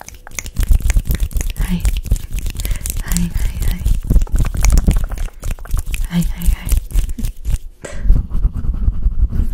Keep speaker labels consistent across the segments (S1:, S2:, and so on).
S1: Hi. Hi, hi, hi. Hi, hi,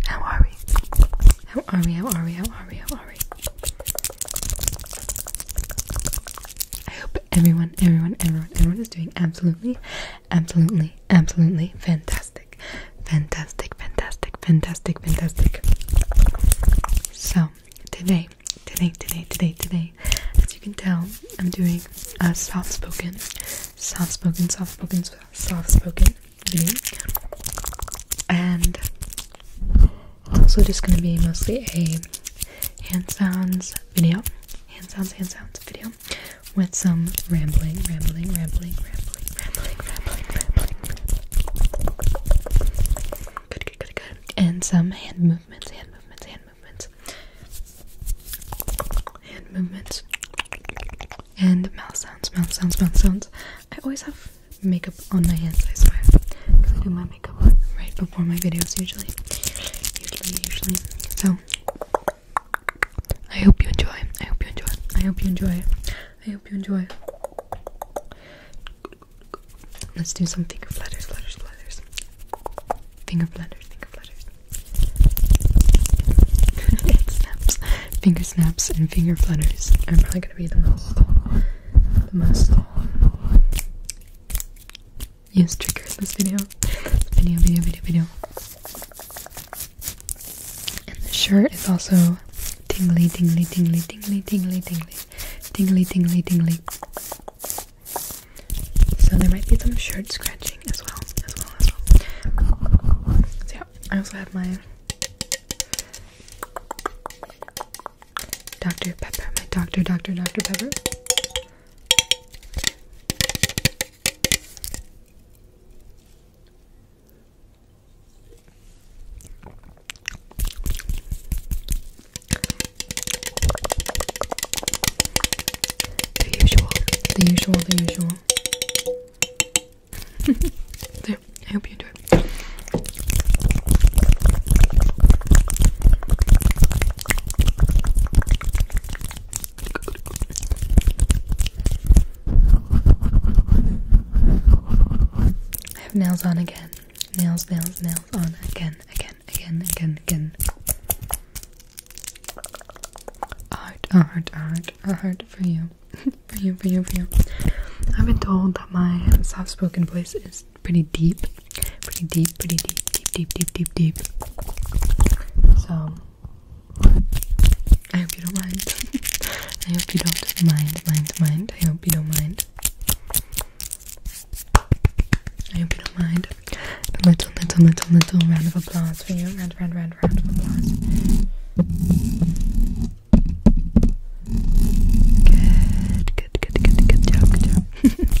S1: How are we? How are we? How are we? How are we? How are we? I hope everyone, everyone, everyone, everyone is doing absolutely, absolutely, absolutely fantastic. Fantastic, fantastic, fantastic, fantastic. So, today, today, today, today, today, as you can tell, I'm doing a soft spoken, soft spoken, soft spoken, soft spoken video, and also just gonna be mostly a hand sounds video, hand sounds, hand sounds video with some rambling, rambling, rambling, rambling, rambling, rambling, rambling, rambling, Good, good, good, good. And some hand movements, hand movements, hand movements. Hand movements. And mouth sounds, mouth sounds, mouth sounds. I always have makeup on my hands, I swear. I do my makeup right before my videos, usually. Usually, usually. So, I hope you enjoy. I hope you enjoy. I hope you enjoy I hope you enjoy. Let's do some finger flutters, flutters, flutters. Finger flutters, finger flutters. it snaps. Finger snaps and finger flutters are probably gonna be the most, the most used trigger this video. Video, video, video, video. And the shirt is also tingly, tingly, tingly, tingly, tingly, tingly, tingly, tingly, tingly. So there might be some shirt scratching as well, as well, as well. So yeah, I also have my Dr. Pepper, my Dr. Dr. Dr. Pepper. The usual, the usual, the usual. there, I hope you enjoy. it. I have nails on again. Nails, nails, nails on again, again, again, again, again. Art, art, art, art for you. for you, for you, for you. I've been told that my soft spoken voice is pretty deep. Pretty deep, pretty deep, deep, deep, deep, deep, deep. So I hope you don't mind. I hope you don't mind, mind, mind. I hope you don't mind. I hope you don't mind. A little, little, little, little round of applause for you. Round, round, round, round of applause. Good, good, good, good, good job, good job.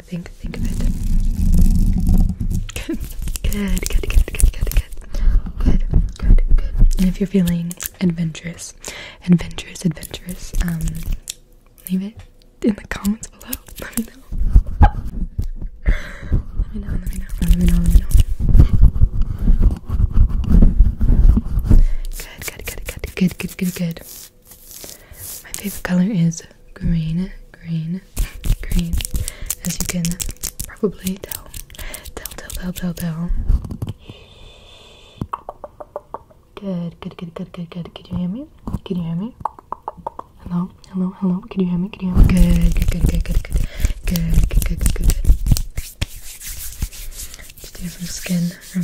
S1: think, think, of it. Good, good, good, good, good, good, good, good, good. And if you're feeling adventurous, adventurous, adventurous, um, leave it in the comments below. Let me know. Let me know. Let me know. Let me know. good, good, good, good, good, good, good. My favorite color is green, green, green. As you can probably tell, tell, tell, tell, tell, tell. Good, good, good, good, good, good. Can you hear me? Can you hear me? Hello, hello, hello. Can you hear me? Can you hear me? Good, good, good, good, good, good. Good, good, good, good, good. Just do some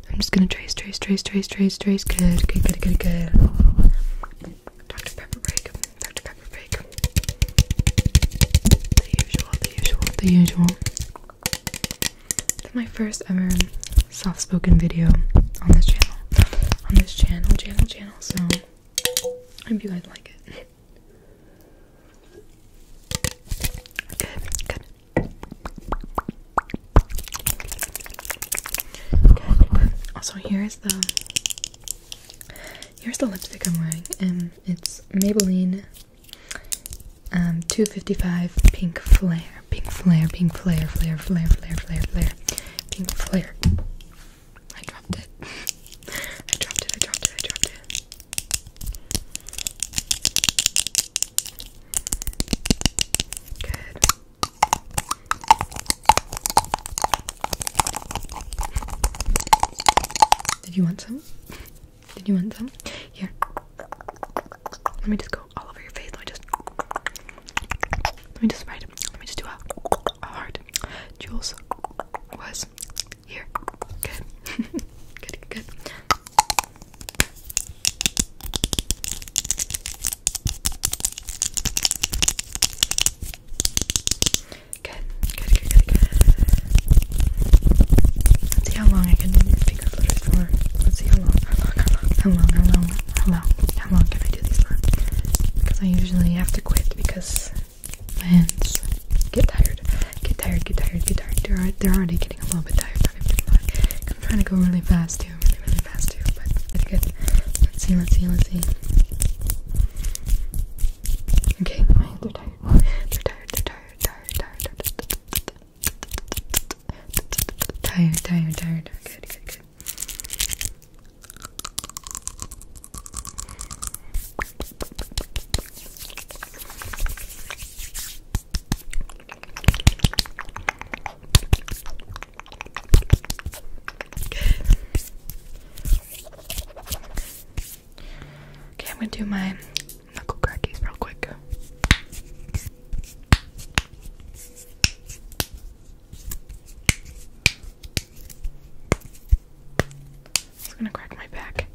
S1: I'm just gonna trace, trace, trace, trace, trace, trace. Good, good, good, good, good. Dr. Pepper break. Dr. Pepper break. The usual, the usual, the usual. That's my first ever soft-spoken video on this channel. On this channel, channel, channel. So I hope you guys like it. Good, good. Good. Also, here is the here's the lipstick I'm wearing, and it's Maybelline um 255 Pink Flare, Pink Flare, Pink Flare, Flare, Flare, Flare, Flare, Flare, Pink Flare. I dropped it. I dropped it. I dropped it. I dropped it. Did you want some? Did you want some? Here. Let me just go all over your face. Let me just. Let me just write. Let me just do a, a heart. Jules was here. Good. good. Good. Good, good, good, good, good. Let's see how long I can speak up litters Let's see how long, how long, how long, how long, how long, can I do these for? Because I usually have to quit because my hands get tired, get tired, get tired, get tired. They're, already getting a little bit tired, I'm trying to go really fast too, really, really fast here, but it's good. Let's see, let's see, let's see. Okay, fine, they're tired. They're tired, they're tired, tired, tired, tired. Tired, tired, tired. Good, good, good. Okay, I'm gonna do my knuckle crackies real quick. just gonna crack my back.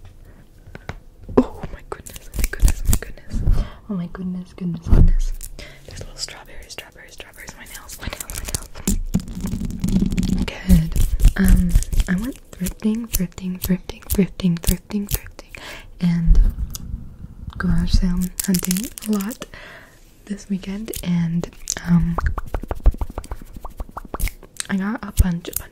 S1: Oh my goodness, oh my goodness, oh my goodness. Oh my goodness, goodness, goodness. There's little strawberries, strawberries, strawberries, my nails, my nails, my nails. Good. Um, I went thrifting, thrifting, thrifting, thrifting, thrifting, thrifting, and garage sale hunting a lot this weekend and um I got a bunch, a bunch,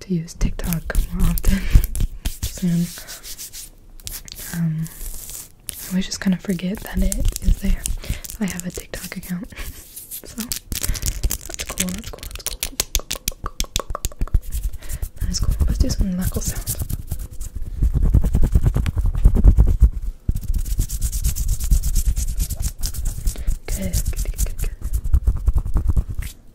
S1: to use TikTok more often soon. Um, I always just kind of forget that it is there. I have a TikTok account, so that's cool. That's cool. That's cool. cool, cool, That is cool. Let's do some knuckle sounds. good, good, good, good.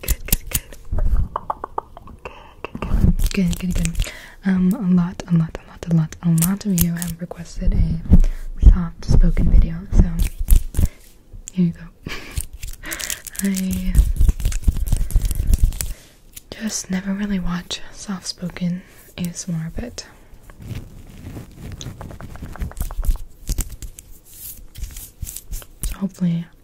S1: Good, good, good. Good, good, good. Um, a lot, a lot, a lot, a lot, a lot of you have requested a soft spoken video, so here you go. I just never really watch soft spoken ASMR, but so hopefully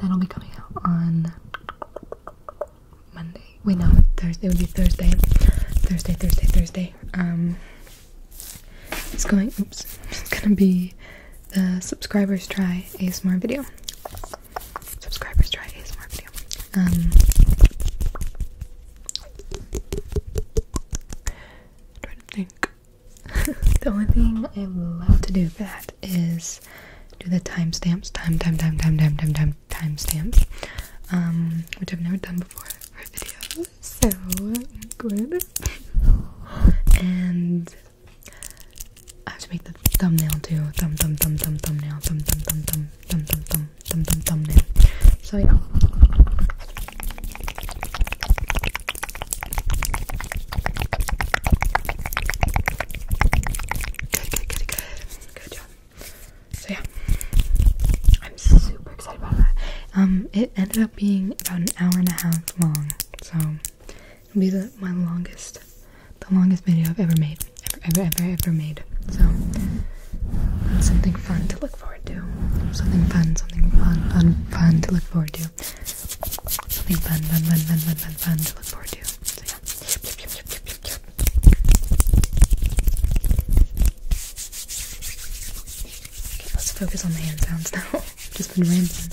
S1: That'll be coming out on Monday. Wait, no, Thursday. It would be Thursday. Thursday, Thursday, Thursday. Um, it's going. Oops, it's gonna be the subscribers try ASMR video. Subscribers try ASMR video. Um. trying to think the only thing I love to do for that is do the timestamps, time, time, time, time, time, time, time, timestamps, um, which I've never done before for videos. So good. and I have to make the thumbnail too. Thumb, thumb, thumb, thumb, thumbnail, thumb, thumb, thumb, thumb, thumb, thumb, thumb, thumb, thumb, thumbnail. So yeah. Good, good, good, good. Good job. So yeah, I'm super excited about that. Um, it ended up being about an hour and a half long, so it'll be the my longest, the longest video I've ever made, ever, ever, ever, made. So something fun to look forward to. Something fun, something fun, fun to look forward to. Something fun, fun, fun, fun, fun, fun, fun to look forward to. Okay, let's focus on the hand sounds now. I've just been rambling.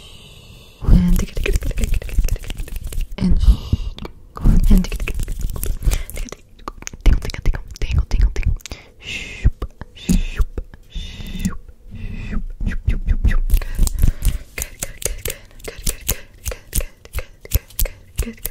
S1: and and and tingle, tingle, tingle, tingle. Shoop, shoop, shoop, shoop, shoop, shoop, shoop, shoop. Good, good, good, good, good, good, good, good, good, good, good, good, good, good, good.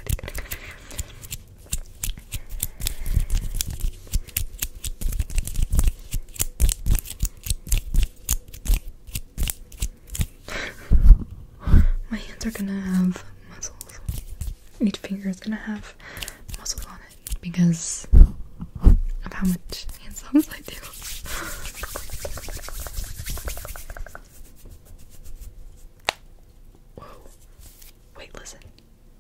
S1: My hands are gonna have muscles. Each finger is gonna have muscles on it because of how much hand sounds I do. Whoa. Wait, listen.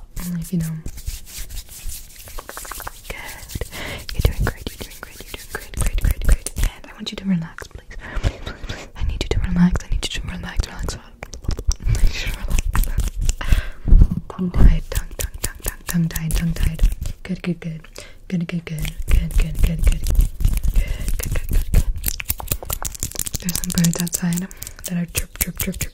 S1: Good. You're doing great. You're doing great. You're doing great. Great. Great. Great. And I want you to relax, please. I need you to relax. I need you to relax. Relax. relax. tongue Tongue. Tongue. Tongue. Tongue. tied. Tongue tied. Good. Good. Good. Good. Good. Good. Good. Good. Good. Good. Good. There's some birds outside that are chirp. Chirp. Chirp. Chirp.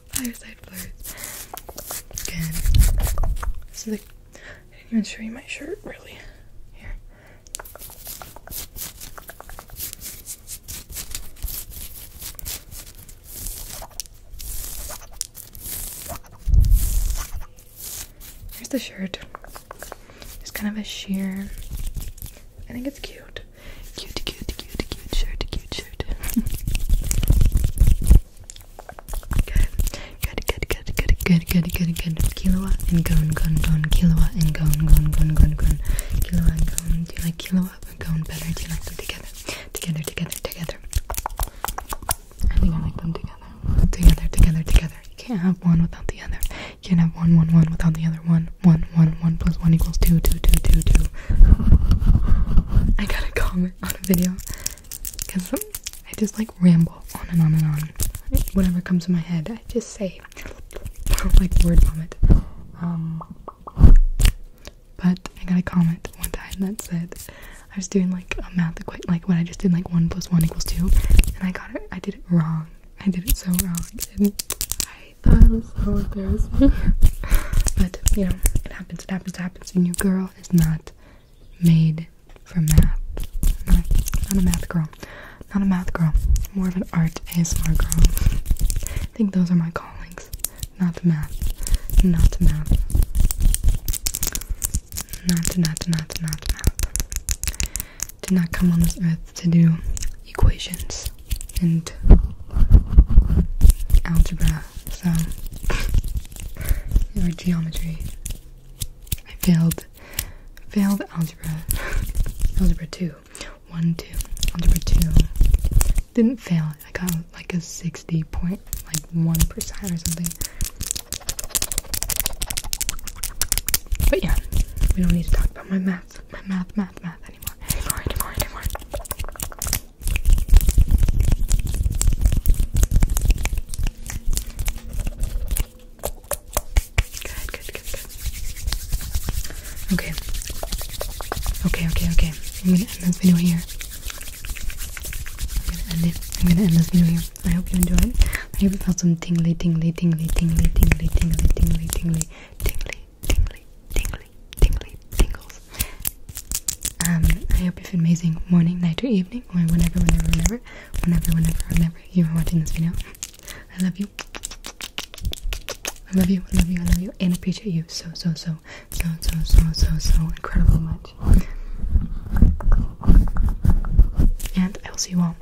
S1: Fireside Flowers. Again. This is like, I didn't even show you my shirt, really. Here. Here's the shirt. It's kind of a sheer. I think it's cute. Cute, cute, cute, cute shirt, cute shirt. Good, good, good, good, good, good, good, good. Kilowa and gone, gone, gone. Kilowa and gone, gone, gone, gone, gone. Kilowa and gone. Do you like kilowa and gone better? Do you like them together? Together, together, together. I think I like them together. Together, together, together. You can't have one without the other. You can't have one, one, one without the other. One, one, one, one plus one equals two, two, two, two, two. I gotta calm on a video because I just like ramble on and on and on. Whatever comes to my head, I just say like word vomit. Um, but I got a comment one time that said I was doing like a math equation, like when I just did like one plus one equals two, and I got it. I did it wrong. I did it so wrong. I thought it was so embarrassing. but you know, it it happens, it happens, it happens, and your girl is not made for math. Not a, math girl. Not a math girl. More of an art ASMR girl. I think those are my callings. Not math. Not math. Not, not, not, not math. Did not come on this earth to do equations and algebra so or geometry. I failed failed algebra algebra two. One two algebra two. Didn't fail. I got like a sixty point like one percent or something. But yeah, we don't need to talk about my math. My math, math, math anymore. Anymore, anymore, anymore. Good, good, good, good. Okay. Okay, okay, okay. I'm gonna end this video here. I'm gonna end it. I'm gonna end this video here. I hope you enjoyed. I hope you felt some tingly, tingly, tingly, tingly, tingly, tingly, tingly, tingly, tingly, tingly, tingly, tingly, tingly, tingles. Um, I hope you've an amazing morning, night, or evening, or whenever, whenever, whenever, whenever, whenever, whenever you are watching this video. I love you. I love you, I love you, I love you, and appreciate you so, so, so, so, so, so, so, so incredibly much. And I will see you all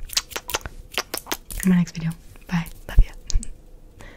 S1: in my next video. Bye. Love you.